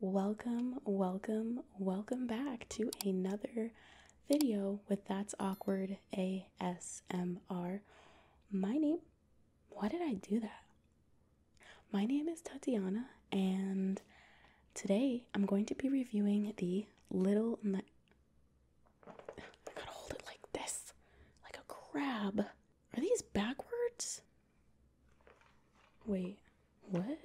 Welcome, welcome, welcome back to another video with That's Awkward ASMR. My name, why did I do that? My name is Tatiana, and today I'm going to be reviewing the Little, I gotta hold it like this, like a crab. Are these backwards? Wait, what?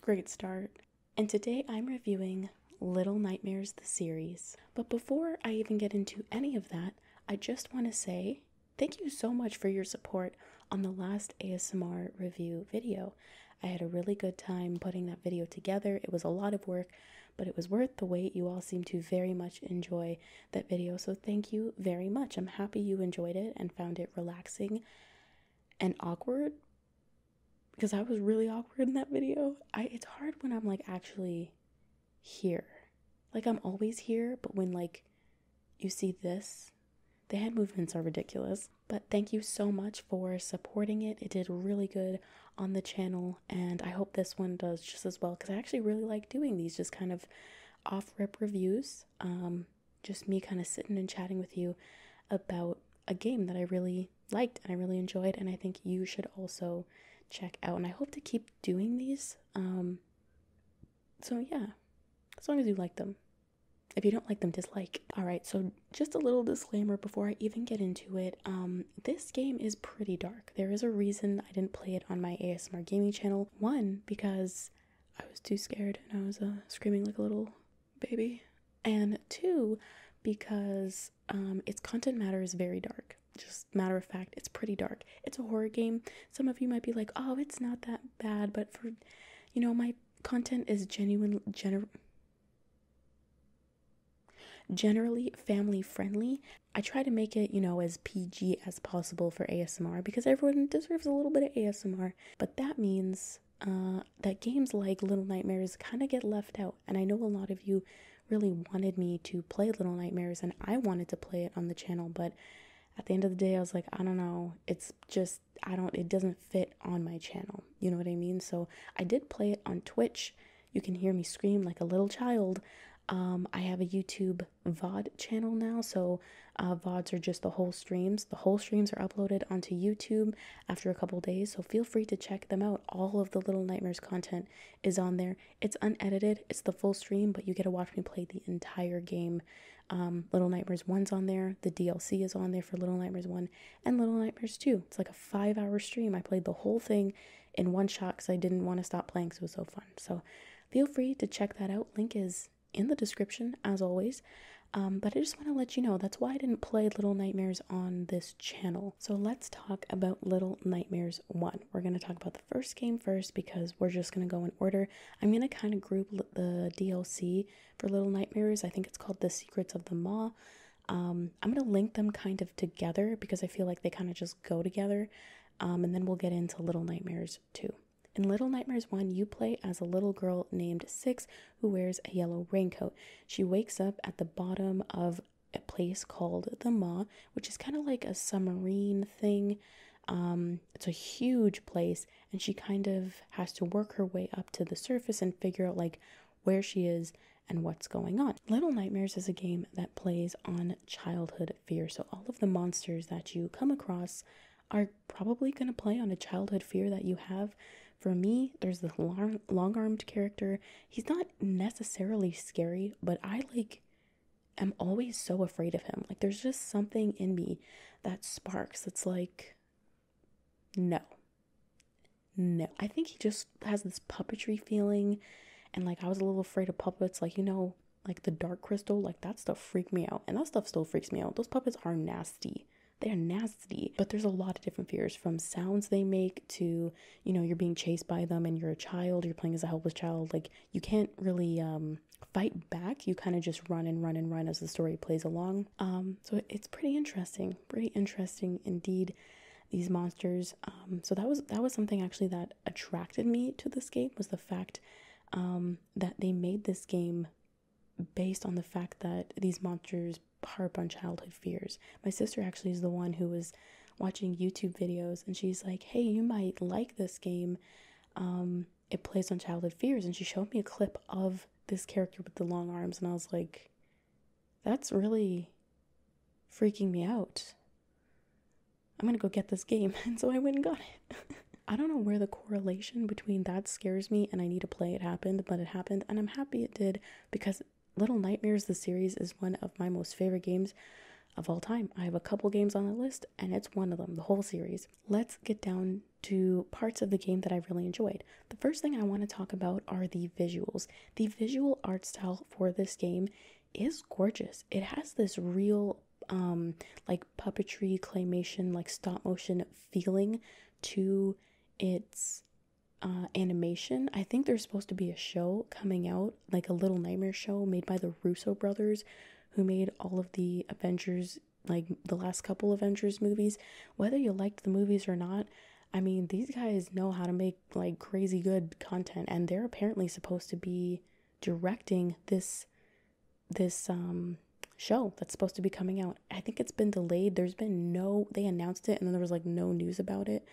Great start. And today I'm reviewing Little Nightmares the series. But before I even get into any of that, I just want to say thank you so much for your support on the last ASMR review video. I had a really good time putting that video together. It was a lot of work, but it was worth the wait. You all seem to very much enjoy that video, so thank you very much. I'm happy you enjoyed it and found it relaxing and awkward because I was really awkward in that video. I it's hard when I'm like actually here. Like I'm always here, but when like you see this, the head movements are ridiculous. But thank you so much for supporting it. It did really good on the channel, and I hope this one does just as well because I actually really like doing these just kind of off rip reviews. Um, just me kind of sitting and chatting with you about a game that I really liked and I really enjoyed, and I think you should also check out. And I hope to keep doing these. Um, so, yeah, as long as you like them. If you don't like them, dislike. All right, so just a little disclaimer before I even get into it. Um, this game is pretty dark. There is a reason I didn't play it on my ASMR gaming channel. One, because I was too scared and I was uh, screaming like a little baby. And two, because um, its content matter is very dark. Just matter of fact, it's pretty dark. It's a horror game. Some of you might be like, oh, it's not that bad, but for, you know, my content is genuine, gener- Generally family friendly. I try to make it, you know, as PG as possible for ASMR because everyone deserves a little bit of ASMR, but that means uh, that games like Little Nightmares kind of get left out. And I know a lot of you really wanted me to play Little Nightmares and I wanted to play it on the channel, but at the end of the day, I was like, I don't know. It's just, I don't, it doesn't fit on my channel. You know what I mean? So I did play it on Twitch. You can hear me scream like a little child. Um, I have a YouTube VOD channel now, so uh, VODs are just the whole streams. The whole streams are uploaded onto YouTube after a couple days, so feel free to check them out. All of the Little Nightmares content is on there. It's unedited, it's the full stream, but you get to watch me play the entire game. Um, little Nightmares 1's on there, the DLC is on there for Little Nightmares 1, and Little Nightmares too. It's like a five hour stream. I played the whole thing in one shot because I didn't want to stop playing because it was so fun. So feel free to check that out. Link is in the description as always. Um, but I just want to let you know that's why I didn't play Little Nightmares on this channel. So let's talk about Little Nightmares 1. We're going to talk about the first game first because we're just going to go in order. I'm going to kind of group the DLC for Little Nightmares. I think it's called The Secrets of the Maw. Um, I'm going to link them kind of together because I feel like they kind of just go together. Um, and then we'll get into Little Nightmares too. In Little Nightmares 1, you play as a little girl named Six who wears a yellow raincoat. She wakes up at the bottom of a place called the Ma, which is kind of like a submarine thing. Um, it's a huge place, and she kind of has to work her way up to the surface and figure out like where she is, and what's going on. Little Nightmares is a game that plays on childhood fear. So, all of the monsters that you come across are probably going to play on a childhood fear that you have. For me, there's this long armed character. He's not necessarily scary, but I like am always so afraid of him. Like, there's just something in me that sparks. It's like, no. No. I think he just has this puppetry feeling. And like, I was a little afraid of puppets. Like, you know, like the dark crystal, like that stuff freaked me out. And that stuff still freaks me out. Those puppets are nasty. They're nasty, but there's a lot of different fears from sounds they make to, you know, you're being chased by them and you're a child, you're playing as a helpless child. Like, you can't really um, fight back. You kind of just run and run and run as the story plays along. Um, so it's pretty interesting, pretty interesting indeed. These monsters. Um, so that was that was something actually that attracted me to this game was the fact um, that they made this game based on the fact that these monsters harp on childhood fears. My sister actually is the one who was watching YouTube videos and she's like, hey, you might like this game. it plays on childhood fears. And she showed me a clip of this character with the long arms. And I was like, that's really freaking me out. I'm gonna go get this game. And so I went and got it. I don't know where the correlation between that scares me and I need to play it happened, but it happened. And I'm happy it did because Little Nightmares, the series, is one of my most favorite games of all time. I have a couple games on the list and it's one of them, the whole series. Let's get down to parts of the game that I really enjoyed. The first thing I want to talk about are the visuals. The visual art style for this game is gorgeous. It has this real um like puppetry, claymation, like stop motion feeling to its uh, animation. I think there's supposed to be a show coming out, like a little nightmare show made by the Russo brothers, who made all of the Avengers, like the last couple Avengers movies. Whether you liked the movies or not, I mean, these guys know how to make like crazy good content and they're apparently supposed to be directing this this um show that's supposed to be coming out. I think it's been delayed. There's been no they announced it and then there was like no news about it.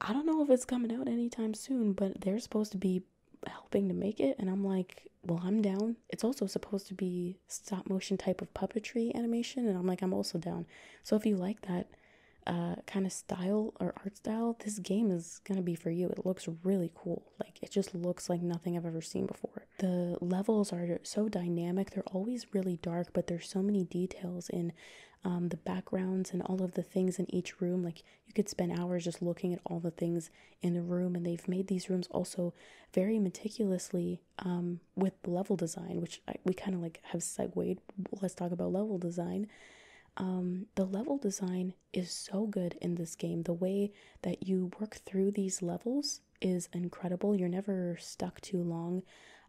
I don't know if it's coming out anytime soon, but they're supposed to be helping to make it and I'm like, "Well, I'm down." It's also supposed to be stop motion type of puppetry animation, and I'm like, I'm also down. So if you like that uh, kind of style or art style, this game is gonna be for you. It looks really cool. Like it just looks like nothing I've ever seen before. The levels are so dynamic. They're always really dark, but there's so many details in um, the backgrounds and all of the things in each room. Like you could spend hours just looking at all the things in the room, and they've made these rooms also very meticulously um, with level design, which we kind of like have segued. Let's talk about level design. Um, the level design is so good in this game. The way that you work through these levels is incredible. You're never stuck too long.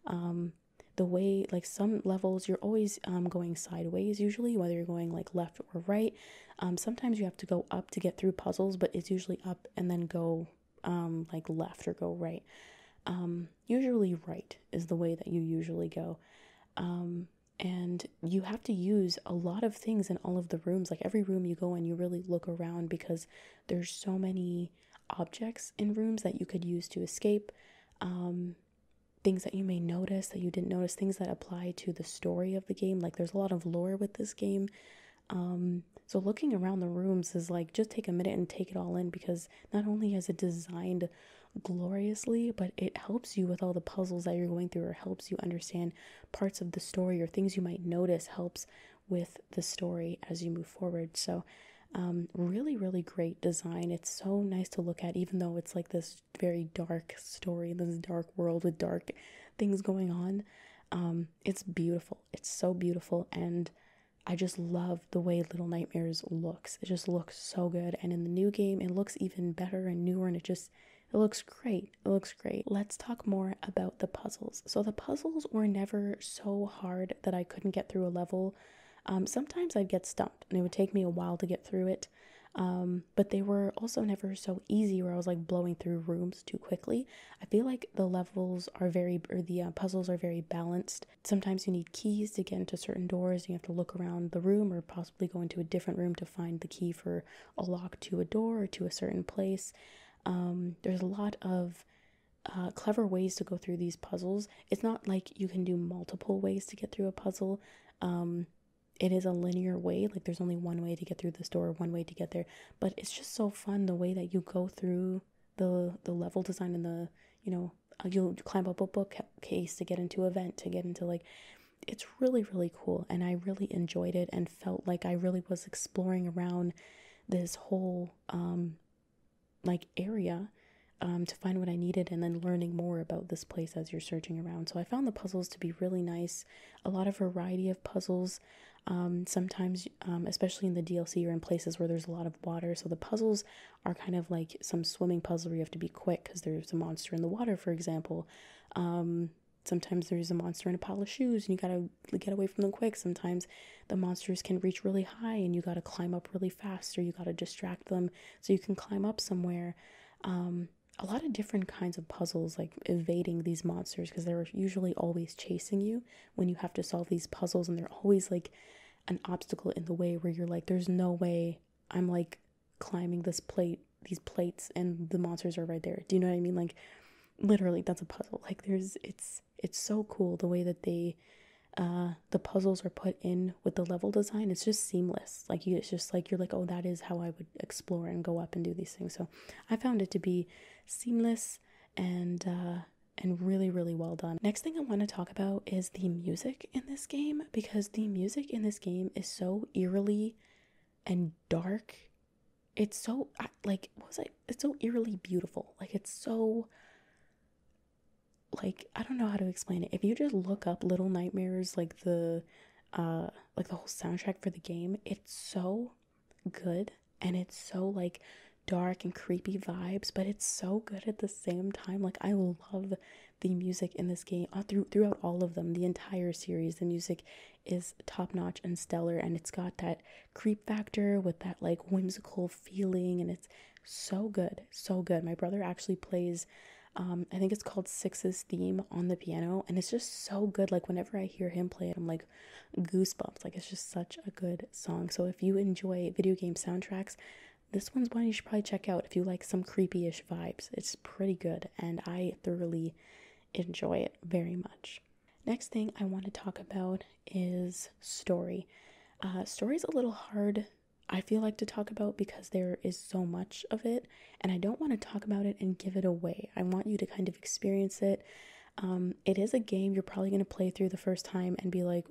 Um, the way, like some levels, you're always um, going sideways, usually, whether you're going like left or right. Um, sometimes you have to go up to get through puzzles, but it's usually up and then go um, like left or go right. Um, usually, right is the way that you usually go. Um, and you have to use a lot of things in all of the rooms. Like every room you go in, you really look around because there's so many objects in rooms that you could use to escape. Um, things that you may notice that you didn't notice, things that apply to the story of the game. Like there's a lot of lore with this game. Um, so looking around the rooms is like just take a minute and take it all in because not only is it designed gloriously, but it helps you with all the puzzles that you're going through or helps you understand parts of the story or things you might notice helps with the story as you move forward. So um, really, really great design. It's so nice to look at, even though it's like this very dark story, this dark world with dark things going on. Um, it's beautiful. It's so beautiful, and I just love the way Little Nightmares looks. It just looks so good, and in the new game, it looks even better and newer, and it just it looks great. It looks great. Let's talk more about the puzzles. So the puzzles were never so hard that I couldn't get through a level. Um, sometimes I'd get stumped, and it would take me a while to get through it. Um, but they were also never so easy where I was like blowing through rooms too quickly. I feel like the levels are very, or the uh, puzzles are very balanced. Sometimes you need keys to get into certain doors, you have to look around the room or possibly go into a different room to find the key for a lock to a door or to a certain place. Um, there's a lot of uh, clever ways to go through these puzzles. It's not like you can do multiple ways to get through a puzzle. Um, it is a linear way like there's only one way to get through this door one way to get there but it's just so fun the way that you go through the the level design and the you know uh, you climb up a bookcase to get into a vent to get into like it's really really cool and i really enjoyed it and felt like i really was exploring around this whole um, like area um, to find what I needed and then learning more about this place as you're searching around. So I found the puzzles to be really nice, a lot of variety of puzzles. Um, sometimes um, especially in the DLC, or in places where there's a lot of water. So the puzzles are kind of like some swimming puzzle where you have to be quick because there's a monster in the water, for example. Um, sometimes there's a monster in a pile of shoes and you gotta get away from them quick. Sometimes the monsters can reach really high and you gotta climb up really fast or you gotta distract them so you can climb up somewhere. Um, a lot of different kinds of puzzles, like evading these monsters because they're usually always chasing you when you have to solve these puzzles and they're always like an obstacle in the way where you're like there's no way I'm like climbing this plate these plates and the monsters are right there. Do you know what I mean? Like literally that's a puzzle. Like there's it's it's so cool the way that they uh the puzzles are put in with the level design. It's just seamless. Like you it's just like you're like, "Oh, that is how I would explore and go up and do these things." So, I found it to be seamless and uh, and really really well done. Next thing I want to talk about is the music in this game because the music in this game is so eerily and dark. It's so like was I? It's so eerily beautiful. Like it's so like I don't know how to explain it. If you just look up Little Nightmares, like the uh like the whole soundtrack for the game, it's so good and it's so like dark and creepy vibes, but it's so good at the same time. Like I love the music in this game uh, through, throughout all of them, the entire series. The music is top notch and stellar, and it's got that creep factor with that like whimsical feeling, and it's so good, so good. My brother actually plays. Um, I think it's called Six's theme on the piano, and it's just so good. Like whenever I hear him play it, I'm like, goosebumps. Like it's just such a good song. So if you enjoy video game soundtracks, this one's one you should probably check out if you like some creepy-ish vibes. It's pretty good and I thoroughly enjoy it very much. Next thing I want to talk about is story. Uh, story's a little hard, I feel like, to talk about because there is so much of it, and I don't want to talk about it and give it away. I want you to kind of experience it um, it is a game you're probably going to play through the first time and be like,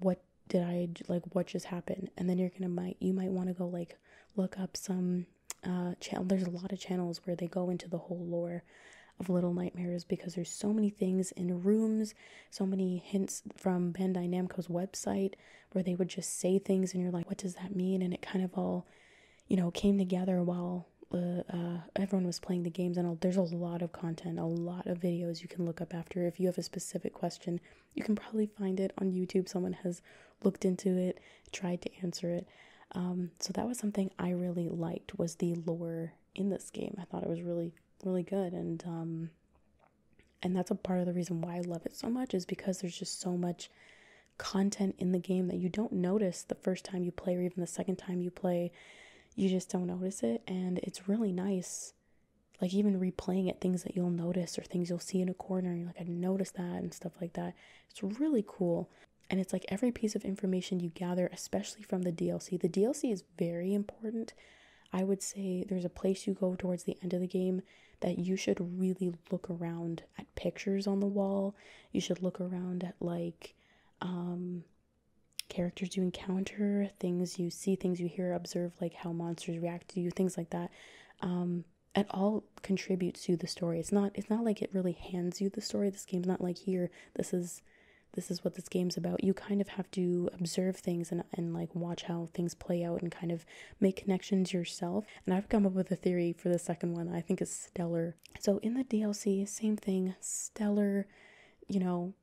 what did I like? What just happened? And then you're going to might, you might want to go like look up some uh, channel. There's a lot of channels where they go into the whole lore of Little Nightmares because there's so many things in rooms, so many hints from Bandai Namco's website where they would just say things and you're like, what does that mean? And it kind of all, you know, came together while uh, uh, everyone was playing the games and there's a lot of content a lot of videos you can look up after if you have a specific question you can probably find it on youtube someone has looked into it tried to answer it um, so that was something i really liked was the lore in this game i thought it was really really good and um, and that's a part of the reason why i love it so much is because there's just so much content in the game that you don't notice the first time you play or even the second time you play. You just don't notice it. And it's really nice. Like, even replaying it, things that you'll notice or things you'll see in a corner, like, I noticed that, and stuff like that. It's really cool. And it's like every piece of information you gather, especially from the DLC. The DLC is very important. I would say there's a place you go towards the end of the game that you should really look around at pictures on the wall you should look around at like um, characters you encounter, things you see, things you hear, observe, like how monsters react to you, things like that. Um, it all contributes to the story. It's not. It's not like it really hands you the story. This game's not like here. This is. This is what this game's about. You kind of have to observe things and, and like watch how things play out and kind of make connections yourself. And I've come up with a theory for the second one I think is stellar so in the DLC, same thing, stellar, you know,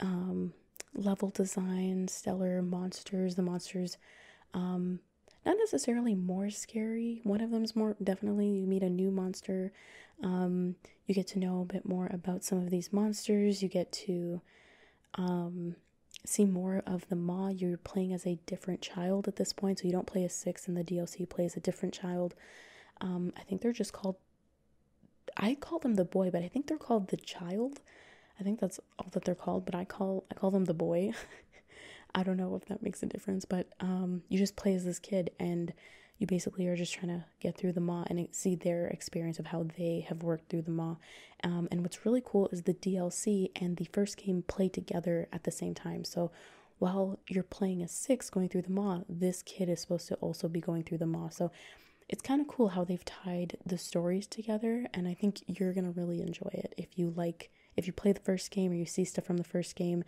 um, level design, stellar monsters. The monsters, um, not necessarily more scary. One of them's more definitely. You meet a new monster. Um, you get to know a bit more about some of these monsters. You get to see more of the Ma. You're playing as a different child at this point, so you don't play as six in the DLC. So you play as a different child. Um, I think they're just called, I call them the boy, but I think they're called the child. I think that's all that they're called, but I call I call them the boy. I don't know if that makes a difference, but um, you just play as this kid, and you basically are just trying to get through the ma and see their experience of how they have worked through the ma. Um, and what's really cool is the DLC and the first game play together at the same time. So while you're playing a six going through the maw, this kid is supposed to also be going through the maw. So it's kind of cool how they've tied the stories together, and I think you're gonna really enjoy it. If you like, if you play the first game or you see stuff from the first game,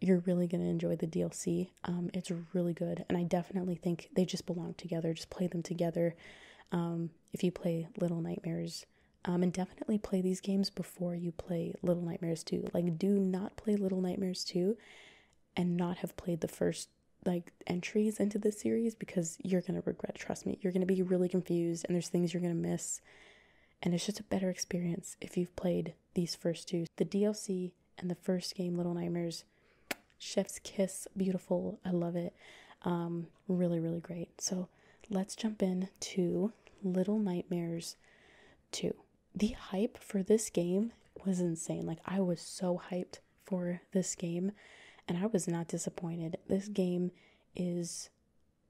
you're really gonna enjoy the DLC. Um, it's really good, and I definitely think they just belong together. Just play them together. Um, if you play Little Nightmares um, and definitely play these games before you play Little Nightmares 2. Like, do not play Little Nightmares 2 and not have played the first like entries into this series because you're going to regret trust me you're going to be really confused and there's things you're going to miss and it's just a better experience if you've played these first two the dlc and the first game little nightmares chef's kiss beautiful i love it um, really really great so let's jump in to little nightmares 2. The hype for this game was insane. Like, I was so hyped for this game, and I was not disappointed. This game is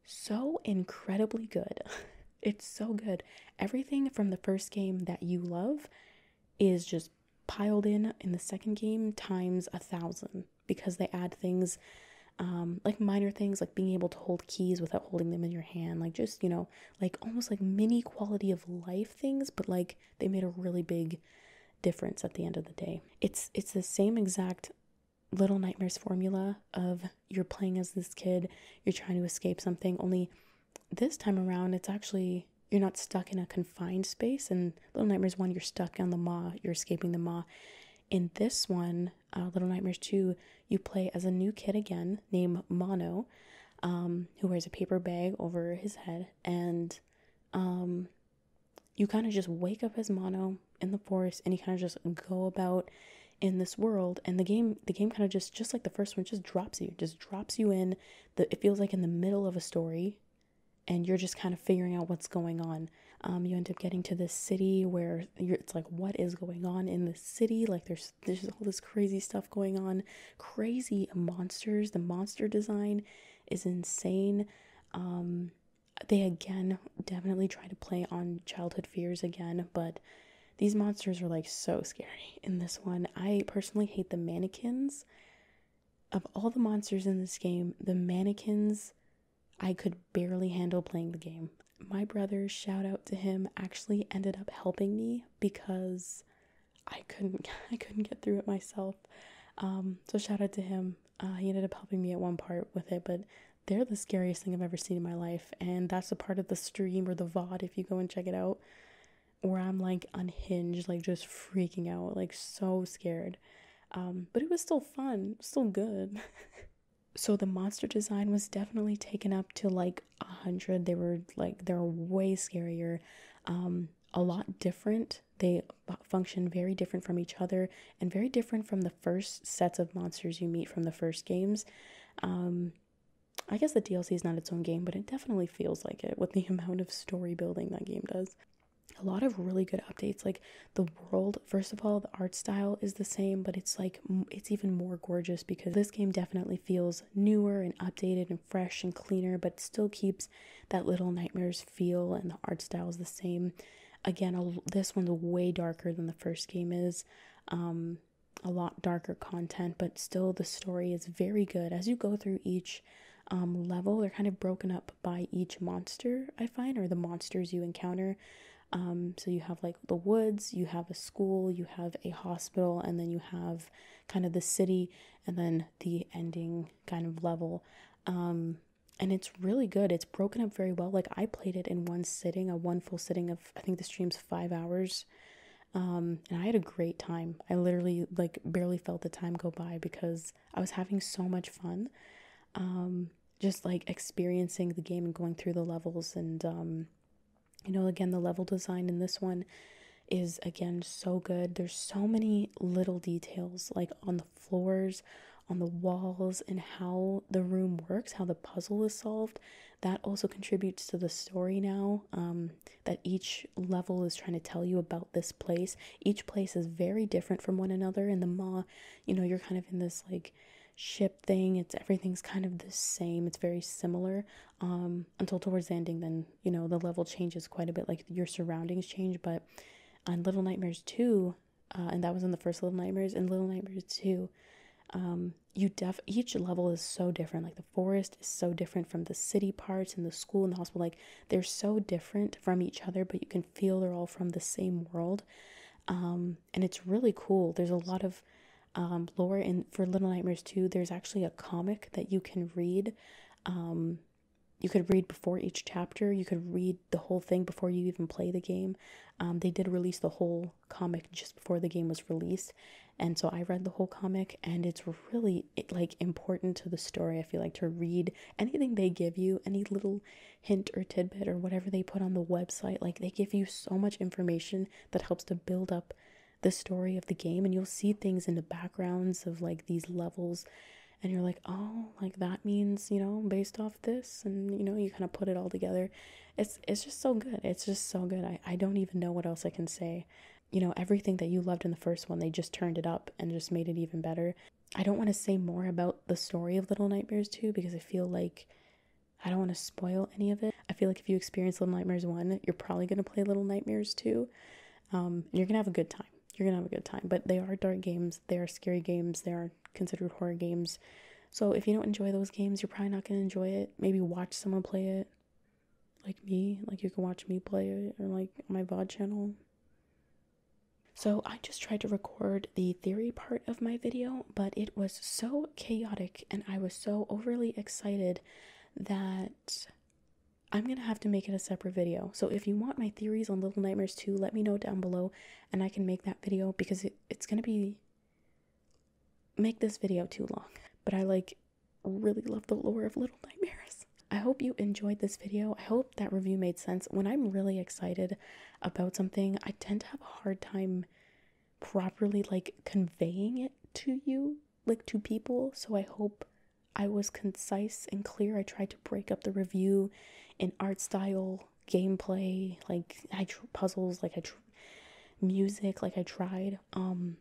so incredibly good. it's so good. Everything from the first game that you love is just piled in in the second game times a thousand because they add things um, like minor things like being able to hold keys without holding them in your hand, like just, you know, like almost like mini quality of life things, but like they made a really big difference at the end of the day. It's it's the same exact little nightmares formula of you're playing as this kid, you're trying to escape something, only this time around it's actually you're not stuck in a confined space and little nightmares one you're stuck on the maw, you're escaping the maw. In this one, uh, Little Nightmares 2, you play as a new kid again named Mono, um, who wears a paper bag over his head. And um, you kind of just wake up as Mono in the forest and you kind of just go about in this world and the game the game kind of just just like the first one just drops you just drops you in the it feels like in the middle of a story and you're just kind of figuring out what's going on um, you end up getting to this city where it's like, what is going on in the city? Like, there's there's all this crazy stuff going on, crazy monsters. The monster design is insane. Um, they again definitely try to play on childhood fears again, but these monsters are like so scary in this one. I personally hate the mannequins. Of all the monsters in this game, the mannequins I could barely handle playing the game. My brother, shout out to him, actually ended up helping me because I couldn't I couldn't get through it myself. Um, so shout out to him. Uh, he ended up helping me at one part with it, but they're the scariest thing I've ever seen in my life, and that's a part of the stream or the VOD if you go and check it out, where I'm like unhinged, like just freaking out, like so scared. Um, but it was still fun, still good. so the monster design was definitely taken up to like a hundred. They were like they're way scarier, um, a lot different. They function very different from each other and very different from the first sets of monsters you meet from the first games. Um, I guess the DLC is not its own game, but it definitely feels like it with the amount of story building that game does. A lot of really good updates. Like the world, first of all, the art style is the same, but it's like it's even more gorgeous because this game definitely feels newer and updated and fresh and cleaner, but still keeps that little nightmares feel and the art style is the same. Again, this one's way darker than the first game is. Um, a lot darker content, but still the story is very good. As you go through each um, level, they're kind of broken up by each monster, I find, or the monsters you encounter. Um, so you have like the woods, you have a school, you have a hospital, and then you have kind of the city, and then the ending kind of level. Um, and it's really good. It's broken up very well. Like I played it in one sitting, a one full sitting of I think the stream's five hours. Um, and I had a great time. I literally like barely felt the time go by because I was having so much fun. Um, just like experiencing the game and going through the levels and um, you know again the level design in this one is again so good there's so many little details like on the floors on the walls and how the room works how the puzzle is solved that also contributes to the story now um, that each level is trying to tell you about this place each place is very different from one another and the ma you know you're kind of in this like ship thing it's everything's kind of the same it's very similar um, until towards ending then you know the level changes quite a bit like your surroundings change but on little nightmares 2 uh, and that was in the first little nightmares and little nightmares 2 um, you def each level is so different like the forest is so different from the city parts and the school and the hospital like they're so different from each other but you can feel they're all from the same world um, and it's really cool. There's a lot of um, lore in for Little Nightmares too. There's actually a comic that you can read. Um, you could read before each chapter. You could read the whole thing before you even play the game. they did release the whole comic just before the game was released, and so I read the whole comic, and it's really like important to the story. I feel like to read anything they give you, any little hint or tidbit or whatever they put on the website. Like they give you so much information that helps to build up the story of the game and you'll see things in the backgrounds of like these levels and you're like, "Oh, like that means, you know, based off this." And you know, you kind of put it all together. It's it's just so good. It's just so good. I I don't even know what else I can say you know everything that you loved in the first one they just turned it up and just made it even better I don't want to say more about the story of Little Nightmares 2 because I feel like I don't want to spoil any of it. I feel like if you experience Little Nightmares 1, you're probably going to play Little Nightmares 2. Um, you're going to have a good time. You're going to have a good time. But they are dark games, they are scary games, they are considered horror games. So if you don't enjoy those games, you're probably not going to enjoy it. Maybe watch someone play it, like me. Like you can watch me play it, or like my VOD channel. So I just tried to record the theory part of my video, but it was so chaotic and I was so overly excited that I'm going to have to make it a separate video. So if you want my theories on Little Nightmares 2, let me know down below and I can make that video because it's going to be make this video too long. But I like really love the lore of Little Nightmares. I hope you enjoyed this video. I hope that review made sense. When I'm really excited about something, I tend to have a hard time properly like conveying it to you, like to people. So I hope I was concise and clear. I tried to break up the review in art style, gameplay, like I tr- puzzles, like I tr- music, like I tried. Um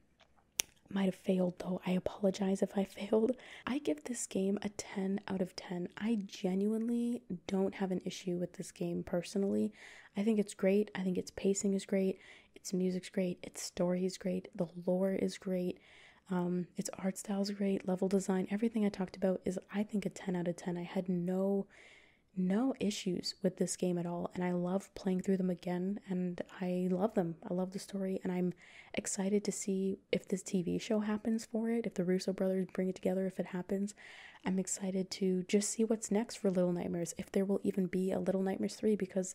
might have failed though. I apologize if I failed. I give this game a 10 out of 10. I genuinely don't have an issue with this game personally. I think it's great. I think its pacing is great. Its music's great. Its story is great. The lore is great. Um, its art style's great. Level design, everything I talked about is, I think, a 10 out of 10. I had no no issues with this game at all and I love playing through them again and I love them. I love the story and I'm excited to see if this TV show happens for it, if the Russo brothers bring it together, if it happens. I'm excited to just see what's next for Little Nightmares, if there will even be a Little Nightmares 3, because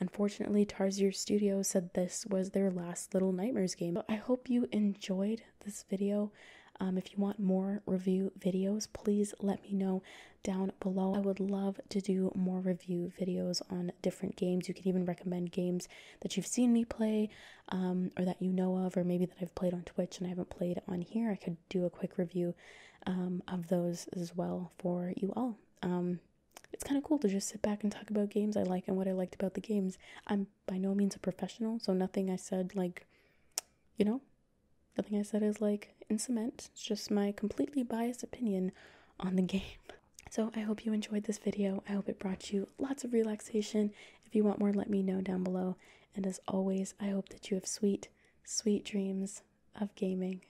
unfortunately, Tarsier Studio said this was their last Little Nightmares game. But I hope you enjoyed this video. Um, if you want more review videos, please let me know down below. I would love to do more review videos on different games. You can even recommend games that you've seen me play um, or that you know of, or maybe that I've played on Twitch and I haven't played on here, I could do a quick review um, of those as well for you all. Um, it's kind of cool to just sit back and talk about games I like and what I liked about the games. I'm by no means a professional, so nothing I said, like, you know, nothing I said is like in cement. It's just my completely biased opinion on the game. So I hope you enjoyed this video. I hope it brought you lots of relaxation if you want more, let me know down below. And as always, I hope that you have sweet, sweet dreams of gaming.